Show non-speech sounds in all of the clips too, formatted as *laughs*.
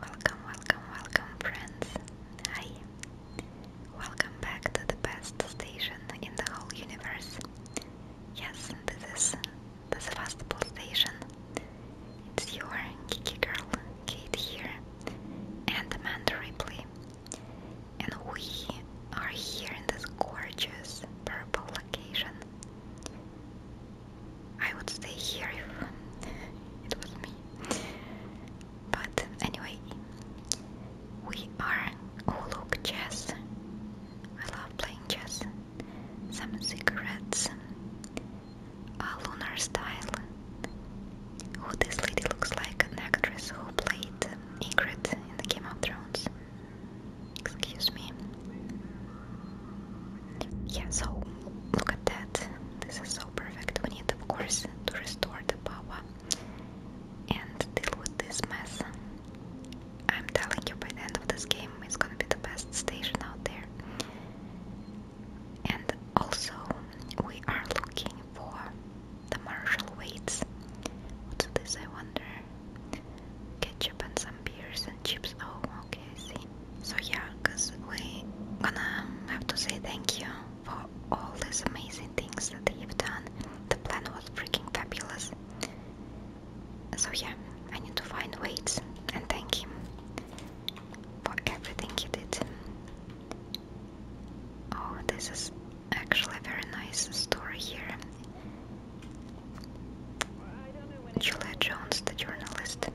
Welcome, welcome, welcome, friends. Hi. Welcome back to the best station in the whole universe. Yes, this is the Sevastopol station. It's your geeky girl, Kate here, and Amanda Ripley. And we are here in this gorgeous purple location. I would stay here if it was me. But anyway, we are. Oh, look, chess. I love playing chess. Some cigarettes. A lunar style. Who this lady looks like an actress who played Ingrid in the Game of Thrones. Excuse me. Yeah, so look at that. This is perfect. We need, of course, to restore the power and deal with this mess. I'm telling you, by the end of this game, it's gonna be the best station out there. And also, we are looking for the Marshall weights. What's this, I wonder? Ketchup and some beers and chips. Oh, okay, I see. So yeah, cause we gonna have to say thank you for all these amazing things that they have done. The plan was freaking fabulous. So yeah, I need to find ways and thank him for everything he did. Oh, this is actually a very nice story here. Julia Jones, the journalist.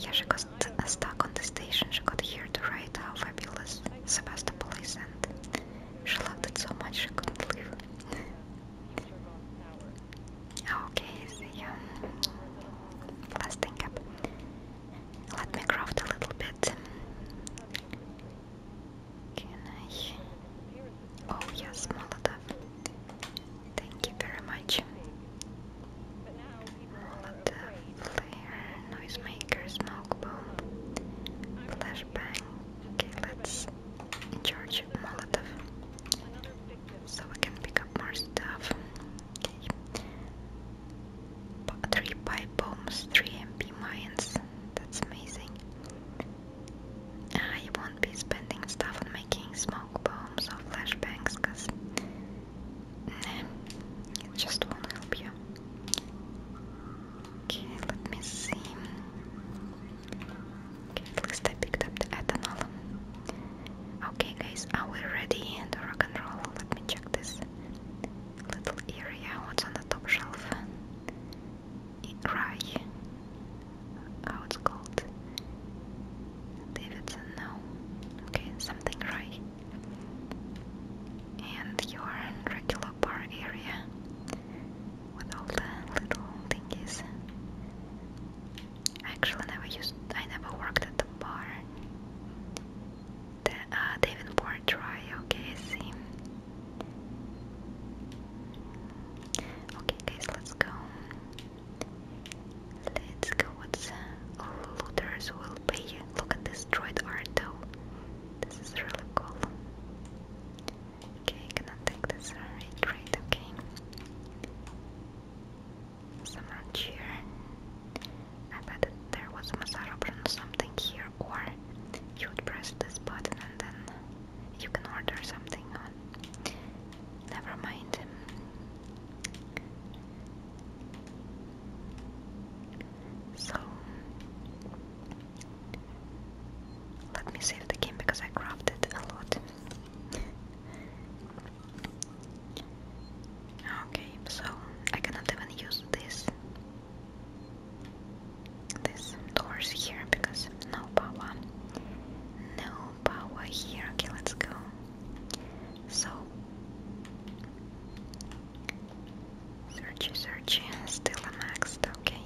Yeah, she goes got stuck on the station, she got here to write how fabulous Sebastopol is, and she loved it so much she couldn't leave. okay, see ya. Last up. Let me craft a little bit. Can I? Oh yes, Molotov. Thank you very much. Molotov, flare, noisemaker, smoke bomb, flashbang. Okay, let's charge of Molotov. So we can pick up more stuff. Okay. Three pipe bombs, three MP mines. That's amazing. I won't be spending stuff on making smoke bombs or flashbangs because Nah, it just won't help you. Okay, let me see. Okay, at least I picked up the ethanol. Okay, guys, are we ready to rock and roll? Let me check this little area. What's on the top shelf? Rye. How it's called? Davidson, no. Okay, something right. And you are in regular bar area with all the little thingies. I actually never used I never worked at the bar. The uh Davenport try. okay, I see. Okay guys, let's go. Let's go with the looters will be. Look at this droid art though. This is really cool. Okay, gonna take this right, okay. Summer cheer. I bet there was a massage option or something here, or you would press this button and then you can order something on. Never mind. So let me save the game because I crafted a lot. okay, so I cannot even use this these doors here because no power, no power here. Okay, let's go. So, search, search, still a maxed. Okay.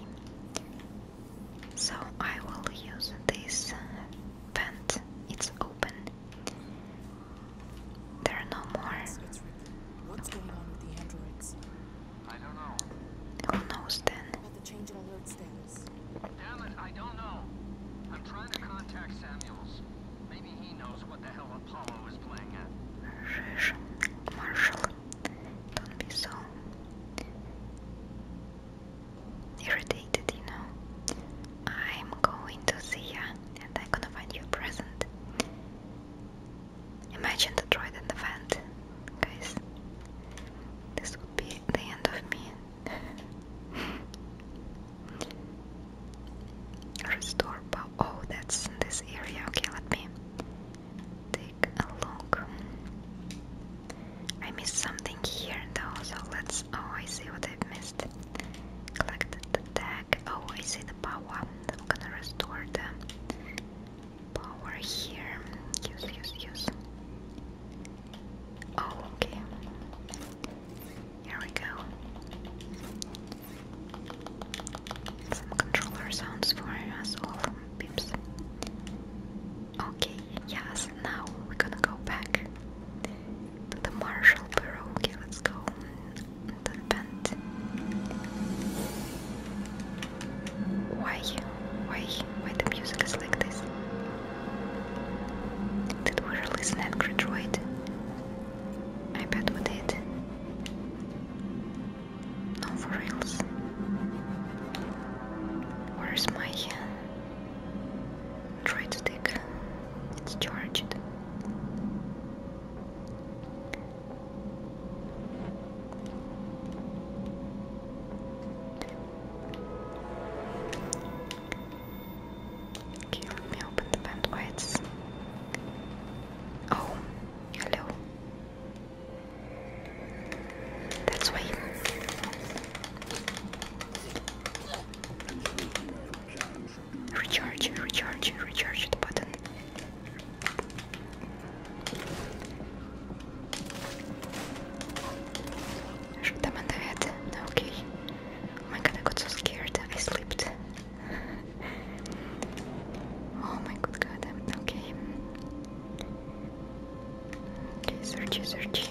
So I will use this uh, vent. It's open. There are no more. What's going on with the androids? I don't know. Who knows then? Maybe he knows what the hell Apollo is playing at. Marshall. Don't be so irritated, you know. I'm going to see and I'm gonna find you a present. Imagine Detroit in the vent, guys. This would be the end of me. Restore power. Oh, that's in this area. Okay, let me take a look. I missed something here though, so let's. Oh, I see what I've missed. Collected the tag. Oh, I see the power. I'm gonna restore the power here. Use, use, use. Oh, okay. Here we go. Some controller sounds for us all from Okay, yes, now we're gonna go back to the Marshall Bureau. Okay, let's go the vent. Why? Why? Why the music is like this? Did we release an angry I bet we did. No, for reals. Where's my uh, It's charged. Okay, let me open the bandwidths. Oh, hello. That's way. Recharge, recharge, recharge the button. Shoot the head. Okay. Oh my god, I got so scared. I slipped. oh my good god. Okay. Okay, searchy, searchy.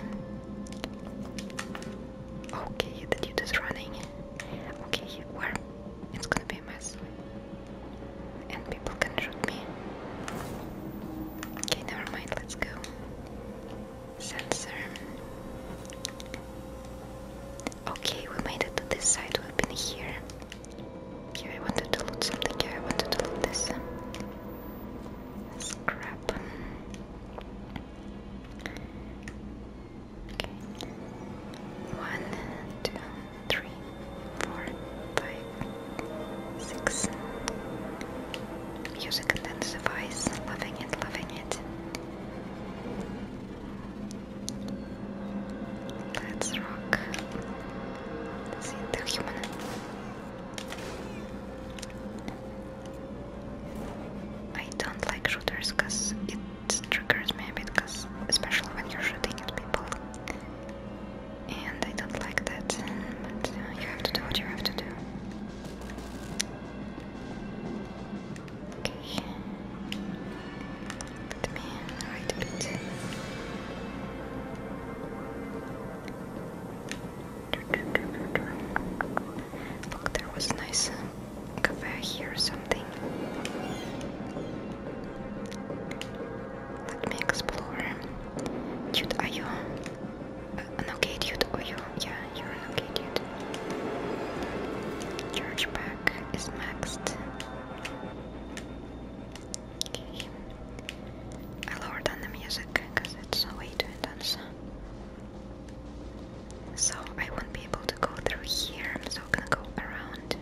Okay, the dude is running. Okay, where? It's gonna be a mess. And people can shoot me. Okay, never mind, let's go sensor. Okay, we made it to this side. We've been here. Here I wanted to loot something. Here I wanted to loot this. Scrap. Okay. One, two, three, four, five, six. Music and intensifies. Loving it, loving it. Let's rock. See the human. I don't like shooters because it triggers me a bit, because especially when you're shooting at people. And I don't like that, but uh, you have to do what you have to do. Okay. Let me a bit. Look, there was a nice uh, cafe here or something. Let me explore. Dude, are you an okay dude, or yeah, you're an okay Charge back is maxed. Okay. I down the music because it's way too intense. So I won't be able to go through here, I'm so gonna go around.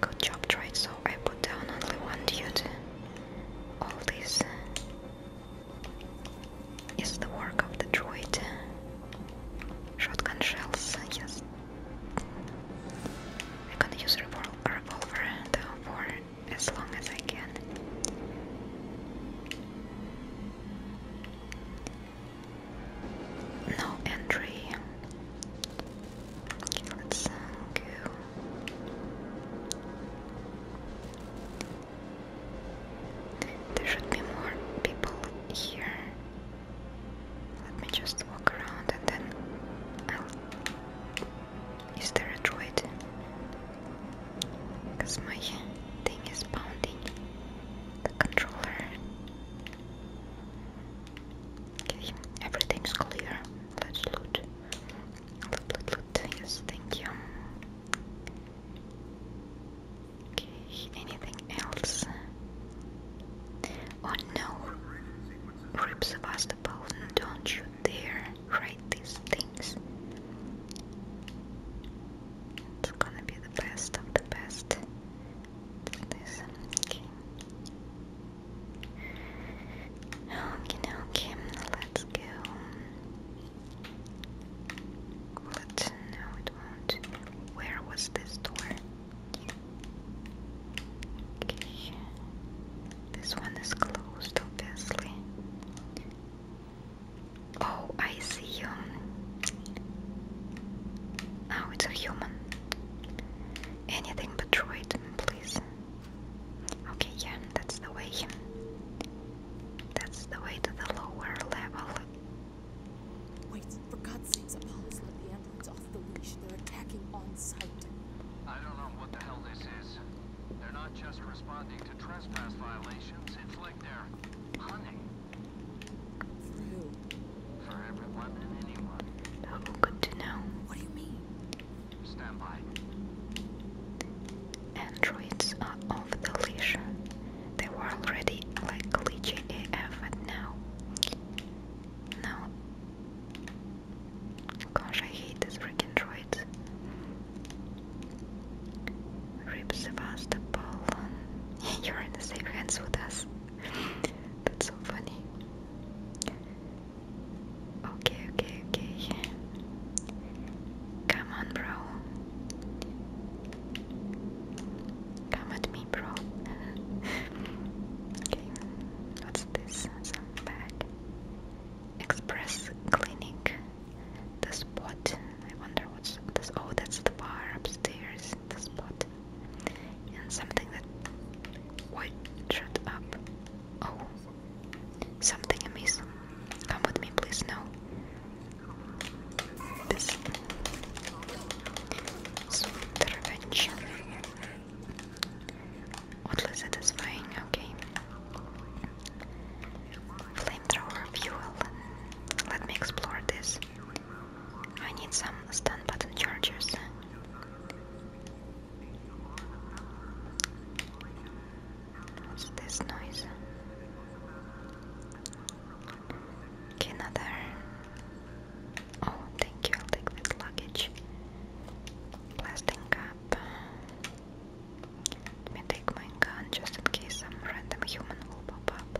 Good job, trade. So I put down only one duty. All this uh, is the work of the droid. Uh, shotgun shells, yes. I'm gonna use revol revolver uh, for as long as I can. No entry. Okay, let's go. There should be more people here. Let me just walk around and then I'll. Is there a droid? Because my thing is pounding the controller. Okay, everything's clear. Let's loot. Loot, loot, loot. Yes, thank you. Okay, anything else? Oh no! Rip Sebastopol, don't you dare write these things. It's gonna be the best of the best this? Okay. Okay, okay, let's go. But no, it won't. Where was this door? Okay. This one is closed, obviously. Oh, I see you. Oh, it's a human. Anything but right, please. Okay, yeah, that's the way. That's the way to the lower level. Wait, for God's sakes, Apollos, let the androids off the leash. They're attacking on sight. I don't know what the hell this is. They're not just responding to trespass violations, it's like they're hunting. For who? For everyone and anyone. Oh, good to know. What do you mean? Stand by. Androids are off the leash. They were already like glitchy AF and now. Now. Gosh, I hate these freaking Rips droids. Rip Sevastopol. *laughs* You're in the safe hands with us. That's so funny. Okay, okay, okay. Come on, bro. Come at me, bro. *laughs* okay, what's this? Some bag. Express Clinic. The spot. I wonder what's this. Oh, that's the bar upstairs. The spot and something that would shut up. Oh, something amiss. Come with me, please. No. This sweet revenge. Oddly satisfying. Okay. Flamethrower fuel. Let me explore this. I need some stun button chargers. What's this noise? another. Oh, thank you. I'll take this luggage. Plastic cup. Let me take my gun just in case some random human will pop up.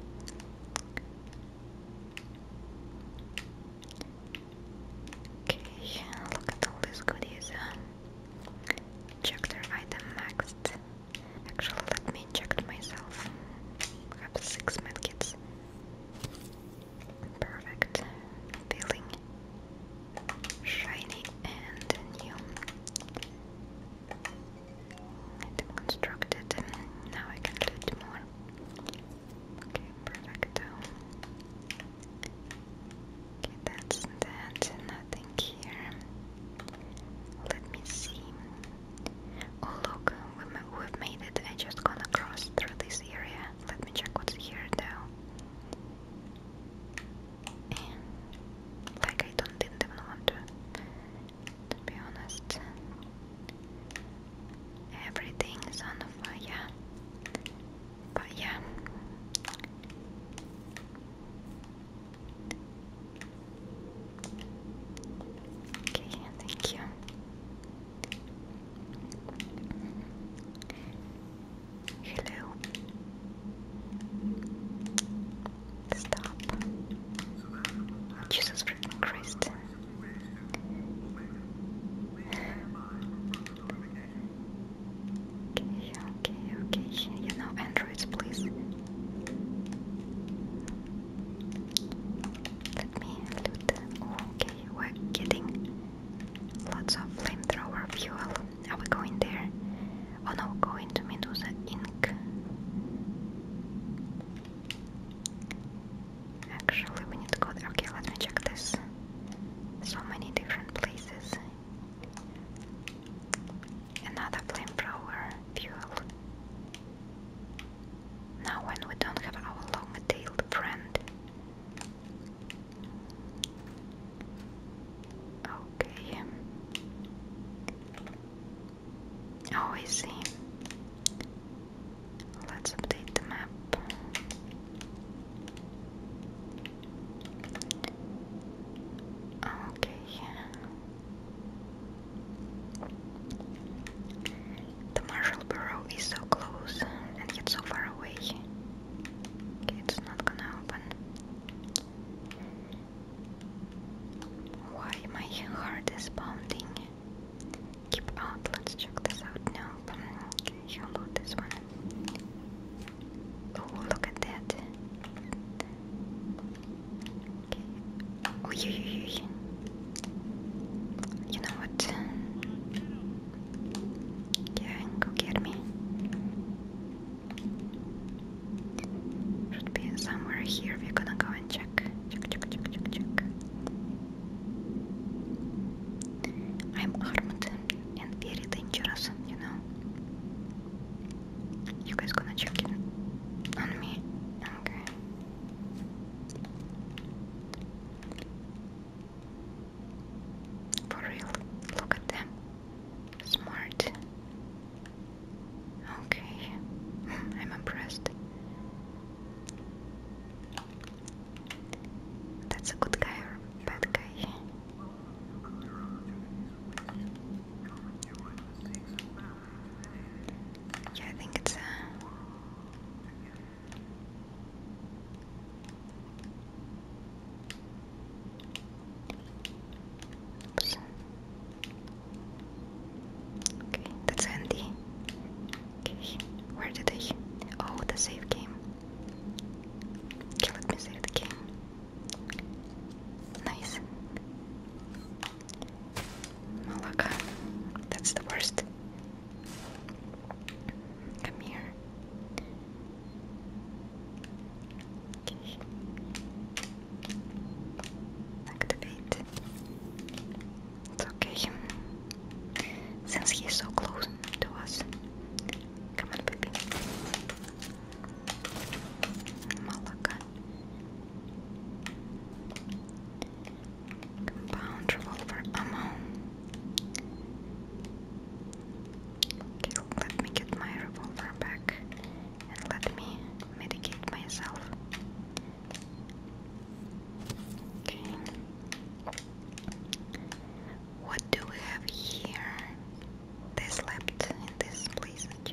Okay, look at all these goodies. Um, check their item maxed. Actually, let me inject myself. have six medkits. Perfect. Feeling shiny and new. Item constructed. Now I can do more. Okay, perfecto. Okay, that's that. Nothing here. Let me see. Oh look, we've made it. I just gonna cross through this area. Let me check what's here though. like I don't didn't want to to be honest. Everything is on fire. But yeah. Okay, thank you. Hello. Stop. Jesus Christ. Okay, okay, okay. You know, androids, please. Let me loot them. Okay, we're getting lots of flamethrower fuel. Are we going there? Oh no, going to Medusa Ink. Actually, we need to go there. Okay, let me check this. So many different places. Another flamethrower fuel. Now, when we don't have our long tailed friend. Okay. Oh, I see. Let's update the map. Okay. The Marshall Bureau is so close and yet so far away. it's not gonna open. Why my heart is pounding? keep out. Let's check this out now. Okay, How about this one? Oh, look at that. Okay. Oh, yeah, yeah, yeah. You know what? Yeah, go get me. Should be somewhere here. We're gonna go and check. Check, check, check, check, check. I'm armed and very dangerous, you know. You guys gonna check it on me? Okay. For real, look at them. Smart. Okay, *laughs* I'm impressed. That's a good guy or bad guy? I think it's uh, Okay, that's handy. Okay, where did they? Oh, the save game. let me save the game. Nice. Malaka, that's the worst. Come here. Activate. It's okay. Since he's so close to us. Come on, baby. Malaka. Compound revolver ammo. Okay, let me get my revolver back and let me medicate myself. What do we have here? They slept in this place, I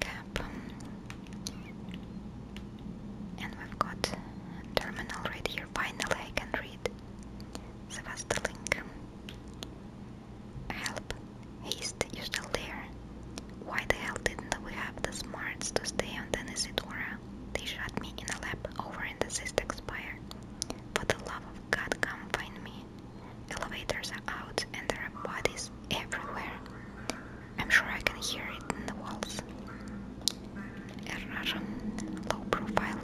cap. And we've got terminal right here. Finally, I can read. So, Help. Haste, you're still there. Why the hell didn't we have the smarts to stay on the Isidora? They shot me in a lab over in the Sistek Spire. For the love of God, come find me. Elevators are out and there are bodies everywhere. I'm sure I can hear it in the walls. A low profile.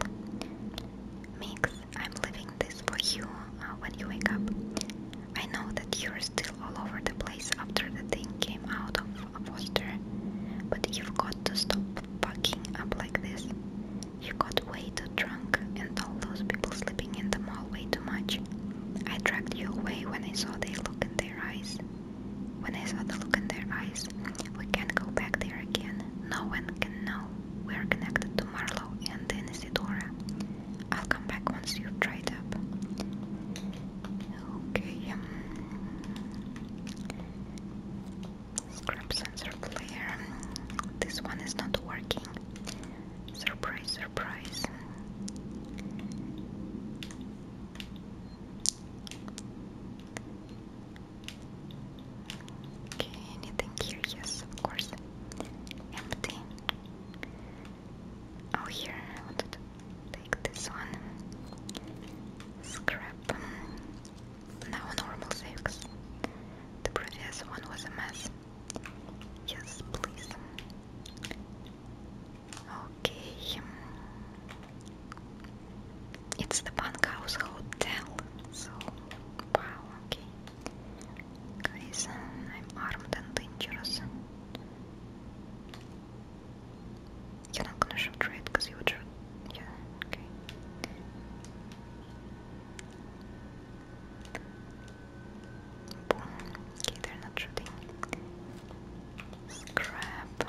Mix, I'm leaving this for you uh, when you wake up. I know that you're still all over the place after the thing came out of Foster, but you've got to stop fucking up like this. You got way too drunk and all those people sleeping in the mall way too much. I dragged you away when I saw the look in their eyes. When I saw the look in their eyes, we can't go back there again. No one can know. We're connected to Marlowe and then Isidora. I'll come back once you've dried up. Okay. Scrub sensor flare. This one is not working. Surprise, surprise. Okay, anything here? Yes, of course. Empty. Oh, here I wanted to take this one. Scrap. Now normal saves. The previous one was a mess. Yes, please. Okay. It's the bunkhouse hotel. So, wow, okay. Guys, I'm armed and dangerous. You're not gonna shoot red because you would shoot. okay. Okay, they're not shooting. Scrap.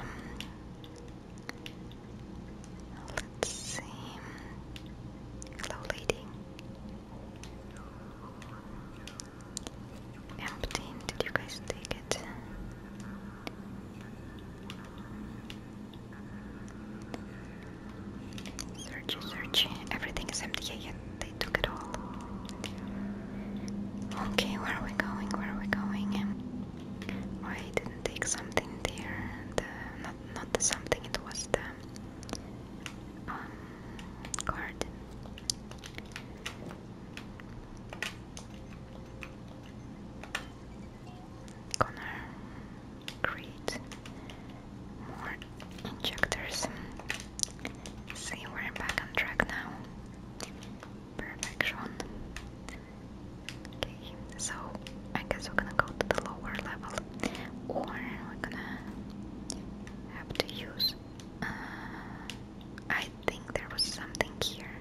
let's see. Hello, lady. Emptying, did you guys take it? Search, search. Everything is empty, yet they took it all. Okay, where are we going? Where are we going? Oh, I didn't take something there. not, not something, it was the um, card. Gonna create more injectors. See, we're back on track now. Perfection. Okay, so I guess we're gonna go to the lower level, or we're gonna have to use uh, I think there was something here.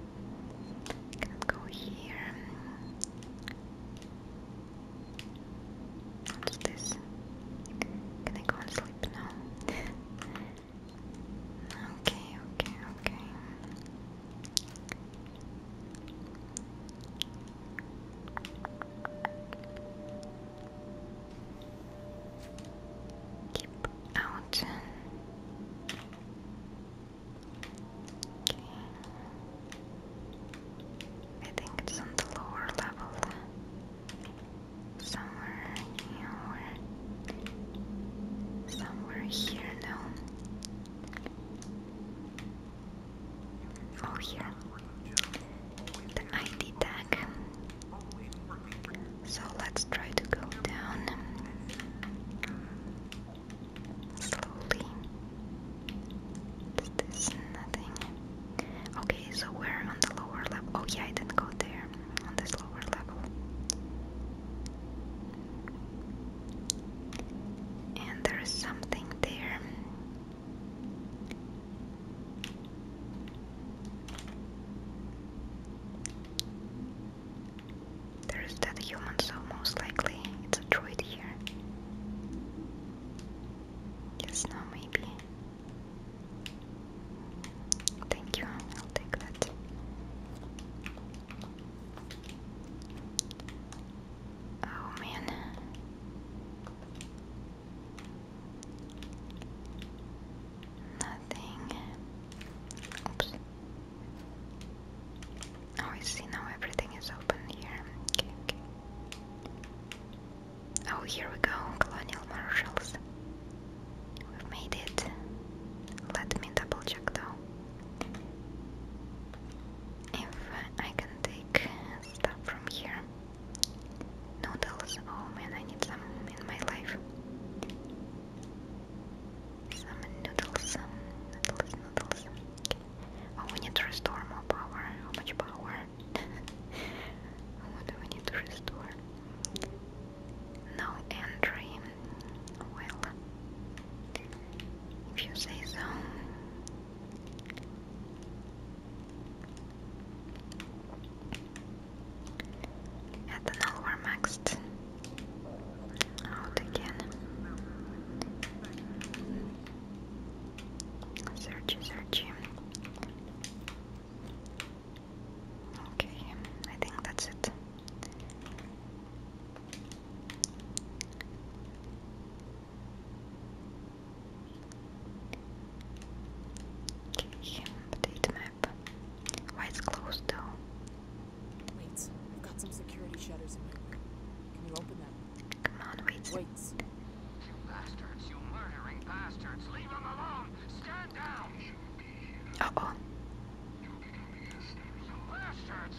Can go here. What's this? Can I go and sleep now? okay, okay, okay. Keep out. Okay. I think it's on the lower level. Somewhere here somewhere here now. Oh here the ID tag. So let's try to go down slowly. Is nothing? Okay, so we're on the lower level. Oh yeah, I didn't go there on this lower level. And there is something there. There is that human, so most likely it's a droid here. Yes, no, maybe. Thank you, I'll take that. Oh man. Nothing. Oops. Oh, I see now everything is open here. Okay, Oh, here we go, Colonial Marshals. We've made it. Let me double check though. If I can take stuff from here. Noodles, oh man, I need some in my life. Some noodles, noodles, noodles. Okay. Oh, we need to restore more power. How much power? what do we need to restore? No entry. Well, if you say so. At an over maxed out again. Search, search. Okay, I think that's it. Okay, update map map. Why it's closed though? Wait, I've got some security shutters in my room. Can you open them? Come on, wait. Wait. You bastards, you murdering bastards. Leave them alone. Stand down. Uh oh. Bastards.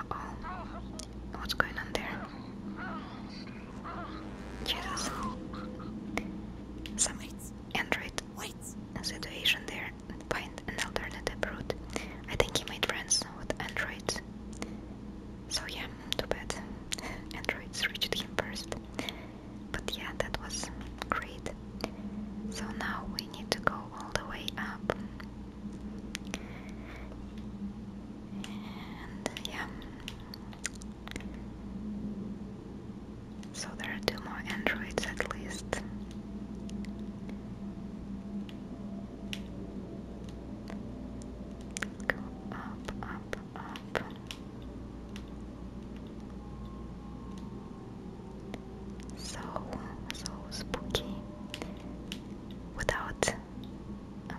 Uh oh. What's going on there? Yes. Some android situation there find an alternative route. I think he made friends with androids. So yeah, too bad. *laughs* Androids reached him first. But yeah, that was great. So now we need to go all the way up. And yeah, so there are two more androids at least. up, up, up. So, so spooky. Without um,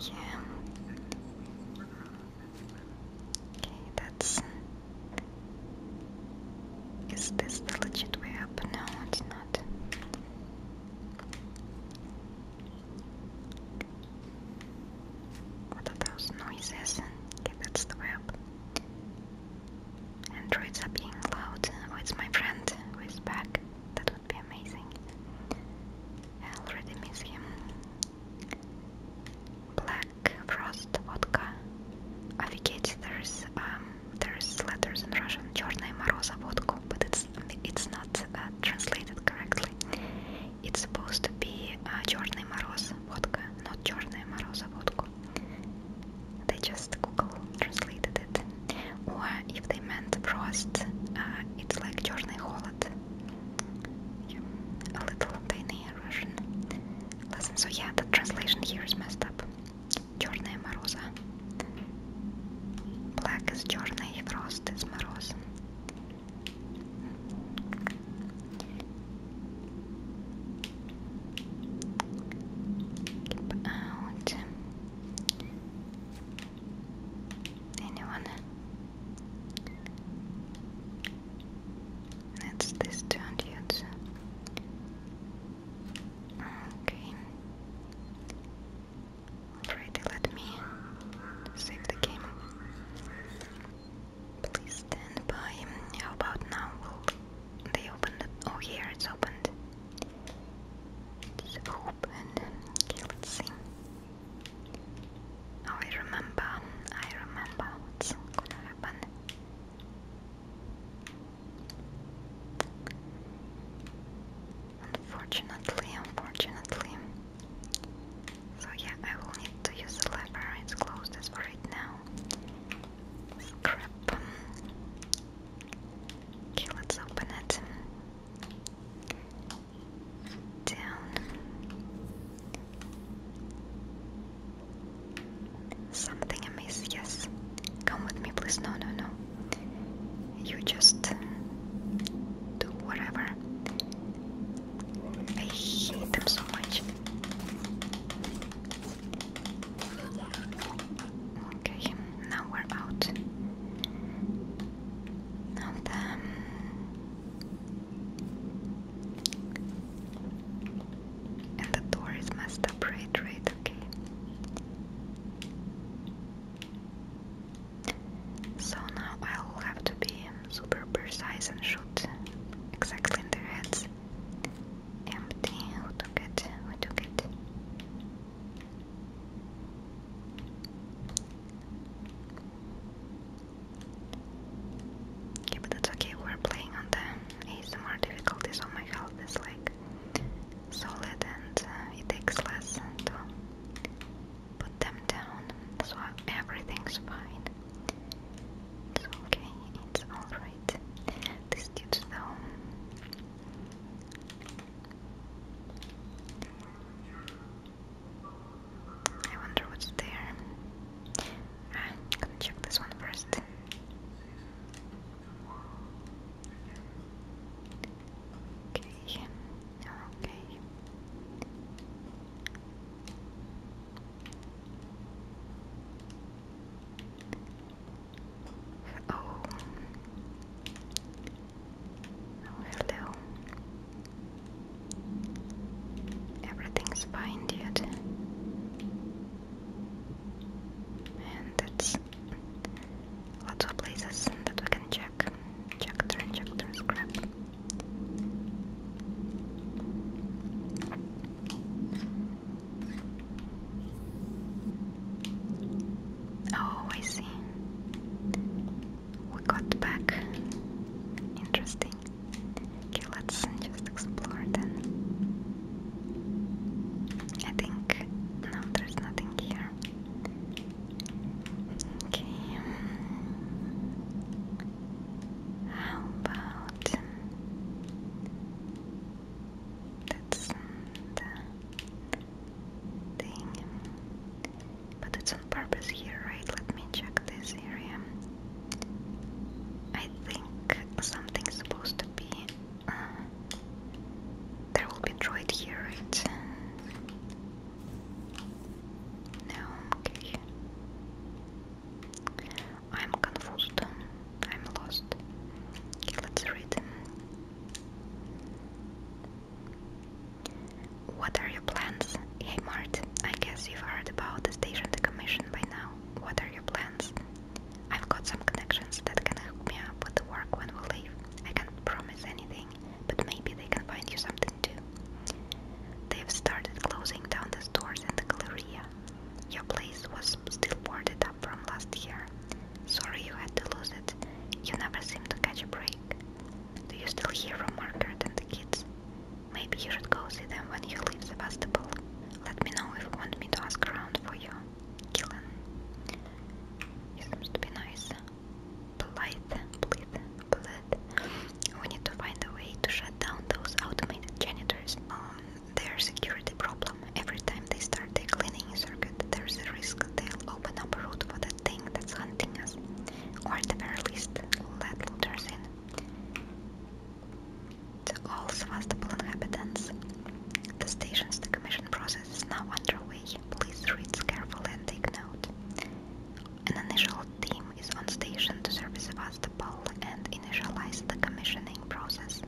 Yeah. Okay, that's. Is this the legit way up? No, it's not. What are those noises? Okay, that's the way up. Androids are being loud. Oh, it's my friend who is back. That would be amazing. I already miss him. Black Frost Vodka. Офигеть, there's, um, there's letters in Russian. Черная мороза водку, but it's, it's not uh, translated correctly. It's supposed to be uh, черный мороз водка, not черная мороза водку they just Google translated it. Or if they meant frost, uh, it's like Chorny Holod. Yeah, a little tiny Russian Listen, So yeah, the translation here is messed up. Черная мороза. Black is черный, frost is мороз. Keep out. Anyone? That's this turned yet. Okay. Alrighty, let me save the game. Please stand by. How about now? they open it? Oh, here it's opened. It's open. Okay, let's I remember. I remember what's gonna happen. Unfortunately, unfortunately. So yeah, I will need to use the lever. It's closed as right now. Scrap. Okay, let's open it. Down. Something amiss, yes. Come with me, please. No, no, no. You just do whatever. I hate them so much. Okay now we're out and the door is messed up right right okay so now I'll have to be super precise and shoot exactly in their heads empty who took it who took it Okay, but that's okay. We're playing on the ASMR difficulty, so oh my health is like solid and uh, it takes less to put them down. So everything's fine. It's okay, it's alright. This dude, though, I wonder what's there. I'm gonna check this one first. Okay, okay. Oh. Oh, hello. Everything's fine, dude. And that's lots of places that we can check. Check turn, check turn, scrap. Oh, I see. We got back. Interesting. Okay, let's just explore then. I think no, there's nothing here. Okay. Um, how about that's mm, thing. But it's on purpose here, right? Let me check this area. I think something's supposed to be. Uh, there will be droid here, right? No, okay. I'm confused. I'm lost. Okay, let's read. What are your plans? Hey Mart, I guess you've heard about the station decommission by now. What are your plans? I've got some connections that can help me up with the work when we leave. I can't promise anything, but maybe they can find you something too. They've started closing down the stores and the Galleria. Your place was still boarded up from last year. Sorry you had to lose it. You never seem to catch a break. Do you still hear from Margaret and the kids? Maybe you should go see them when you leave Sebastopol. Let me know if you want me to ask around for you. Killen. He seems to be nice. Polite, please, polite. We need to find a way to shut down those automated janitors. Um, their security problem Every time they start the cleaning circuit, there's a risk they'll open up a route for the thing that's hunting us. Or at the very least, let looters in. To all Sevastopol inhabitants, the station's decommission process is now underway. Please read carefully and take note. An initial team is on station to service Sevastopol and initialize the commissioning process.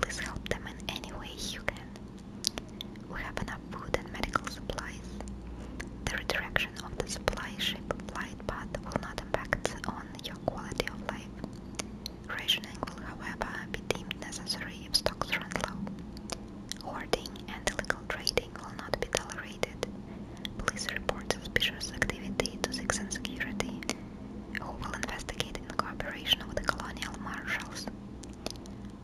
Please help them in any way you can. We have enough food and medical supplies. The redirection of the supply ship flight path will not impact on your quality of life. Rationing will, however, be deemed necessary if stocks run low. Hoarding and illegal trading will not be tolerated. Please report suspicious activity to and Security, who will investigate in cooperation with the colonial marshals.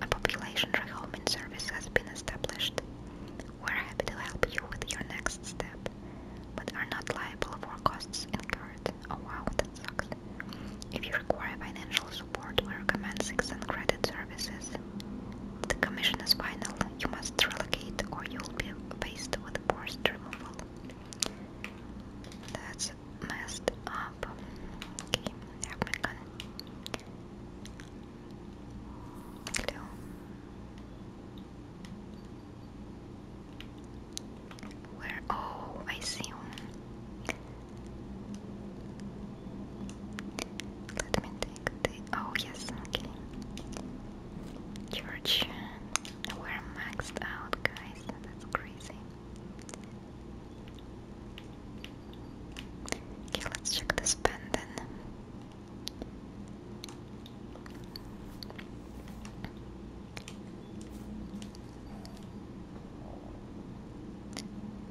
A population rehoming service has been established. We're happy to help you with your next step, but are not liable for costs incurred. Oh wow, that sucks. If you require financial support, we recommend 6th Credit Services. The commission is final. You must relocate or you'll be faced with forced removal. That's messed up. Okay, I have my Hello. Where? Oh, I see Let me take the. Oh, yes, okay. Church. We're maxed out, guys. That's crazy. Okay, let's check this pen then.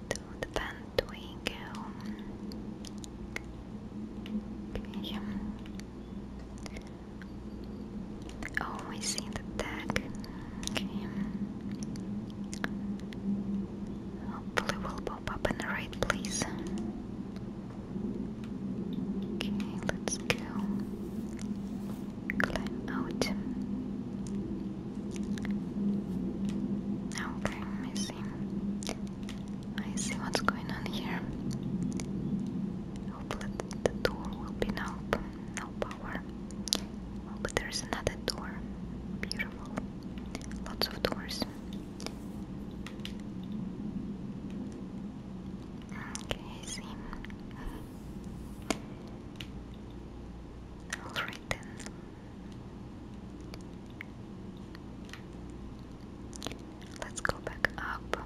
To the pen do Okay. Oh, I see the tag. Okay. Hopefully, will pop up in the right place. Okay, let's go. Climb out. Okay, I see. I see what's going on here. Hopefully the door will be now. No power but there's another door. Beautiful. Lots of doors. Okay, see. Alright then. Let's go back up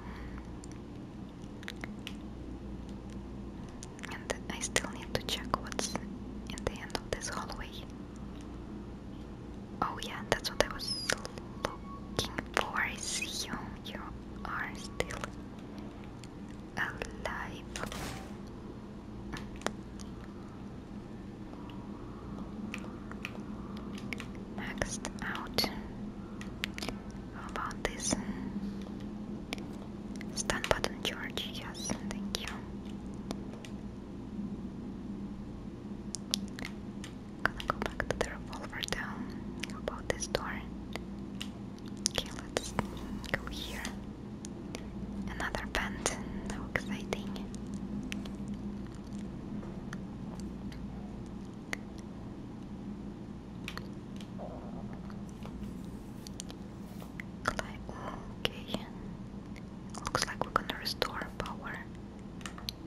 and I still need to check what's in the end of this hallway. Oh yeah, that's what I was looking for. I you. are still alive. Maxed out. about this? Stun button George. yes, thank you. Gonna go back to the revolver down. about this door? Okay, let's go here. Another band, how exciting okay. Looks like we're gonna restore power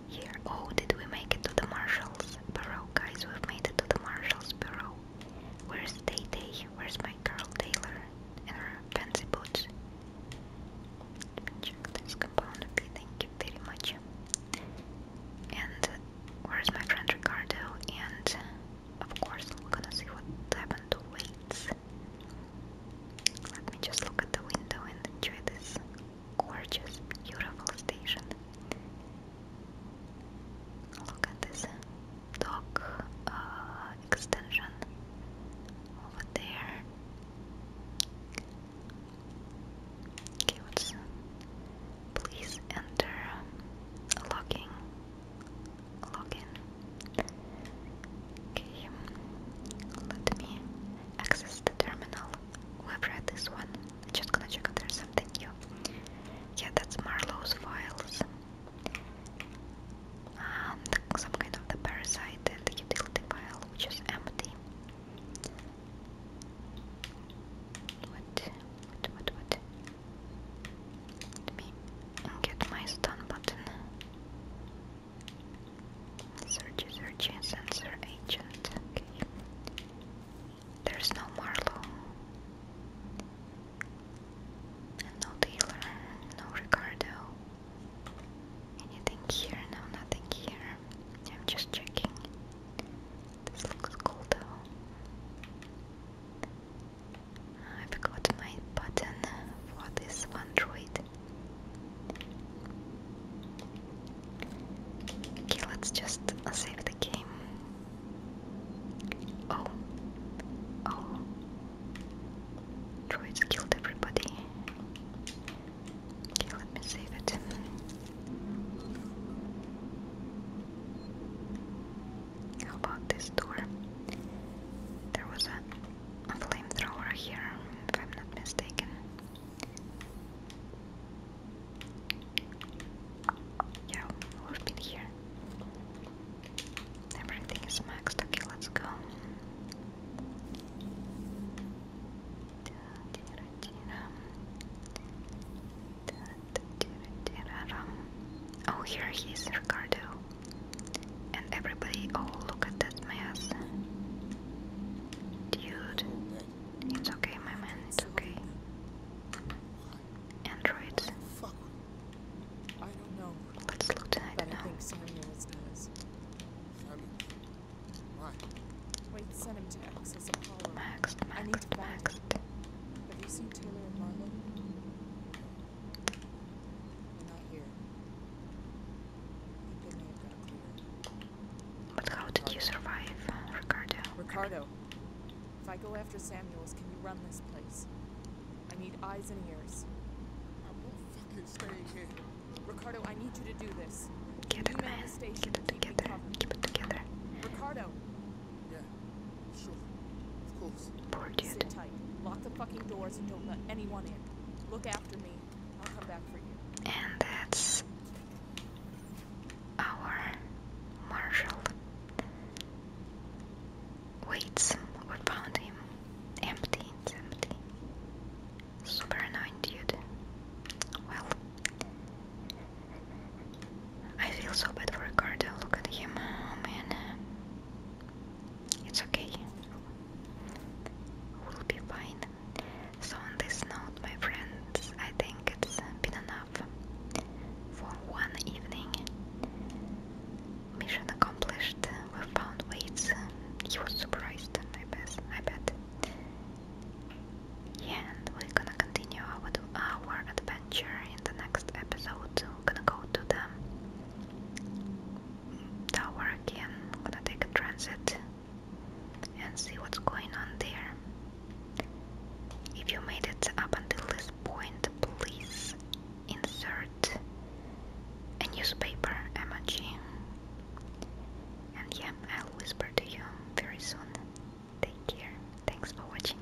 here. Oh, did we make it to the Marshal's Bureau? Guys, we've made it to the Marshal's Bureau. Where's Day Day? Where's my girl Taylor and her fancy boots? check this compound. Okay, thank you very much. And uh, where's my friend Ricardo? And of course we're gonna see what happened to Let me just look at the window and enjoy this gorgeous, beautiful station. Look at this dock uh, extension over there. Okay, please enter locking login. Okay, let me access the terminal. We've read this one. just gonna check if there's something new. Yeah, that's Marlowe's files. And some kind of the parasite and the file, which is empty. What? What? What? What? Let me get my stun button. Search, search, sensor agent. There's no Marlow. no Taylor. No Ricardo. Anything here? No, nothing here. I'm just checking. This looks cool though. I have got my button for this Android. Okay, let's just save the game. Oh, oh, droids killed everybody. Okay, let me save it. How about this door? There was a, a flamethrower here, if I'm not mistaken. Yeah, we've been here. Everything is maxed. Okay, let's go. Oh, here he is, Ricardo. And everybody, oh, look at that mess. Dude, it's okay, my man, it's okay. Androids. I don't know. let I think Samuels does. Why? Wait, send him to access Apollo. Maxed, maxed, maxed. Have you seen Taylor and Marlon? But how did you survive, Ricardo? Ricardo, if I go after Samuels, can you run this place? I need eyes and ears. I'm not fucking staying here. Ricardo, I need you to do this. Get it, man. Get it together. Keep it together. Ricardo. Yeah. Sure, of course. Poor dude. Sit tight. Lock the fucking doors and don't let anyone in. Look after me. I'll come back for you. And that's our marshal. Wait, we found him. Empty, empty. Super annoying dude. Well, I feel so bad for Ricardo. Look at him. Oh man. It's okay. We'll be fine. So, on this note, my friends, I think it's been enough for one evening. Mission accomplished. We found weights. He was surprised, I bet. I bet. and we're gonna continue our, our adventure in the next episode. I'm gonna go to the tower again. I'm gonna take a transit and see what's going on there. If you made it up until this point, please insert a newspaper emoji. And yeah, I'll whisper to you very soon. Take care. Thanks for watching.